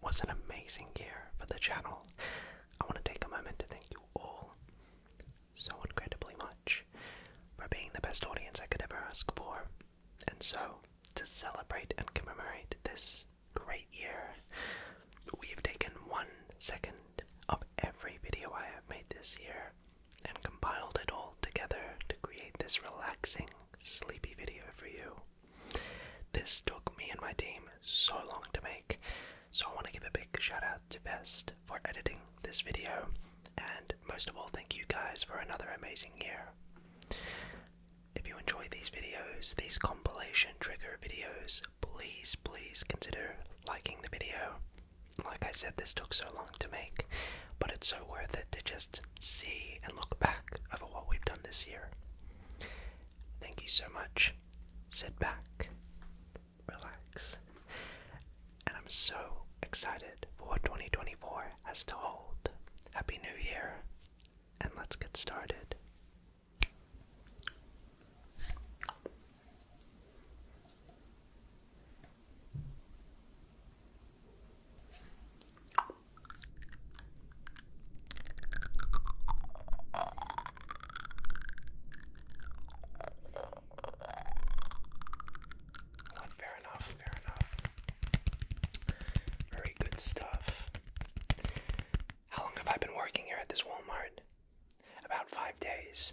was an amazing year for the channel. I want to take a moment to thank you all so incredibly much for being the best audience I could ever ask for. And so, to celebrate and commemorate this great year, we have taken one second of every video I have made this year and compiled it all together to create this relaxing, sleepy video for you. This took me and my team so long to make, so I want to give a big shout out to Best for editing this video, and most of all, thank you guys for another amazing year. If you enjoy these videos, these compilation trigger videos, please, please consider liking the video. Like I said, this took so long to make, but it's so worth it to just see and look back over what we've done this year. Thank you so much. Sit back, relax, and I'm so excited for 2024 has to hold. Happy New Year, and let's get started fair enough, fair enough. Very good stuff. How long have I been working here at this Walmart? About five days.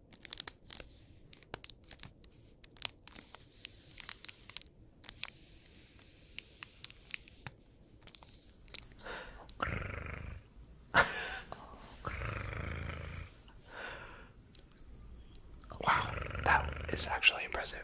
wow, that is actually impressive.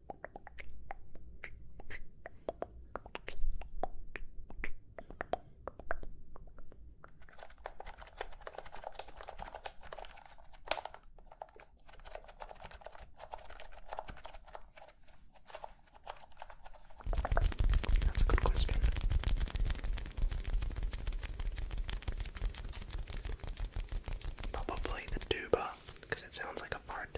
That's a good question. Probably the tuba, because it sounds like a fart.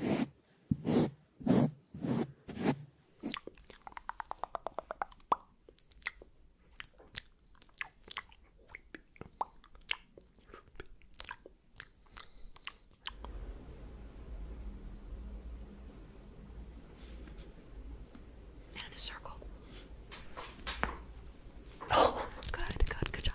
And a circle. Oh, good, good, good job.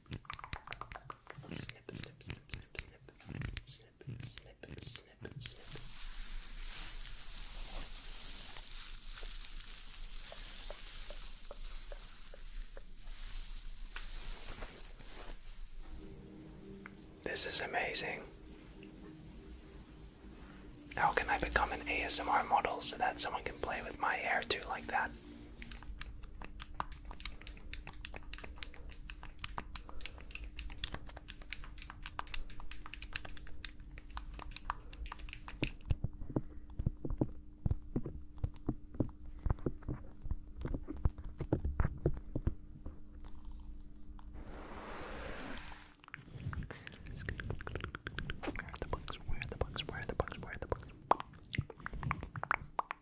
This is amazing. How can I become an ASMR model so that someone can play with my hair too like that? Where are the bugs? Where are the bugs? Where are the bugs? Where are the bugs?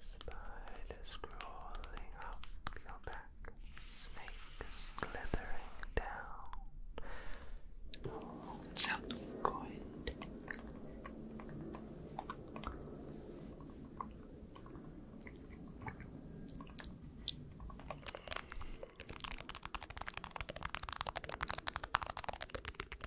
Spider crawling up your back, snake slithering down. Oh, sounds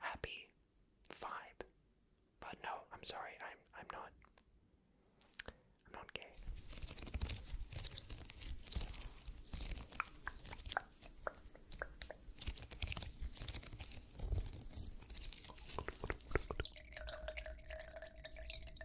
Happy vibe. But no, I'm sorry. I'm I'm not. I'm not gay.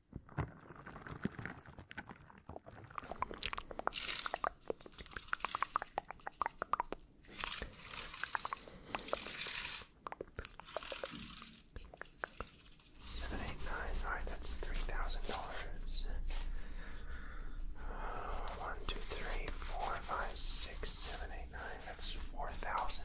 Seven, eight, nine. All right, that's three thousand dollars. Uh, one, two, three, four, five, six, seven, eight, nine. That's four thousand.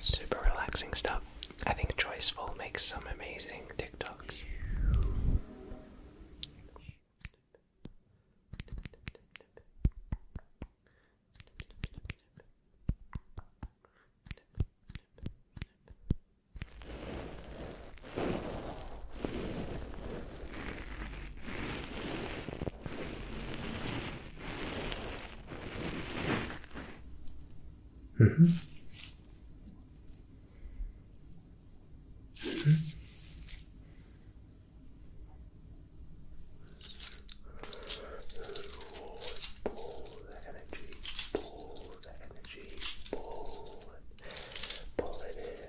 Super relaxing stuff. I think Joyceful makes some amazing TikToks. Mm -hmm. Mm -hmm. Ball, ball of energy, ball the energy, pull it, pull it in.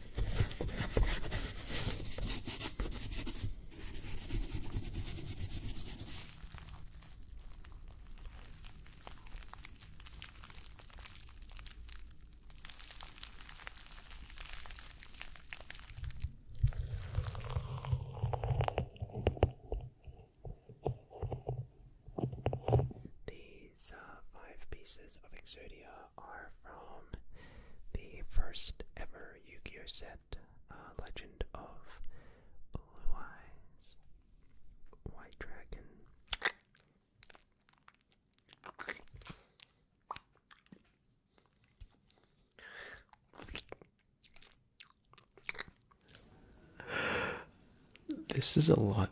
These are five pieces of Exodia are from the first ever Yu Gi Oh set, uh, Legend of Blue Eyes, White Dragon. This is a lot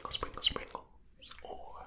Sprinkle, sprinkle, sprinkles, or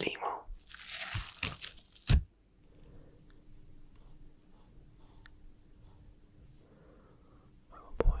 Limo. Oh boy.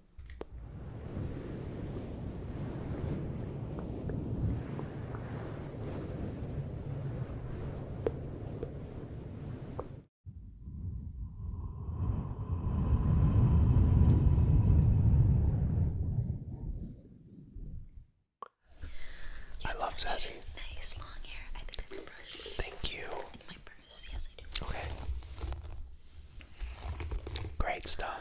I love Zazie. Nice long hair. I think I have a Thank you. In my purse, yes I do. Okay. Great stuff.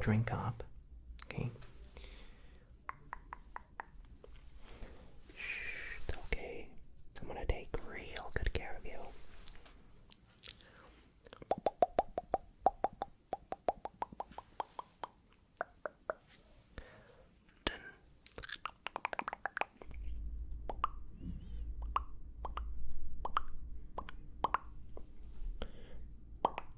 Drink up, okay? It's okay. I'm gonna take real good care of you.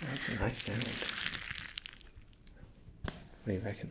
That's a nice sound. What do you reckon?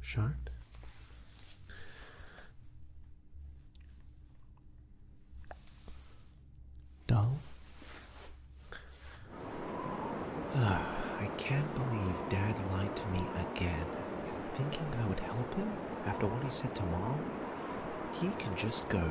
Sharp. Dull. I can't believe Dad lied to me again. Thinking I would help him after what he said to Mom? He can just go.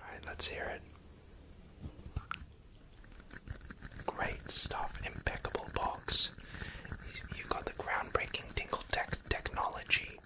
All right, let's hear it. Great stuff, impeccable box. You got the groundbreaking Tingle Tech technology.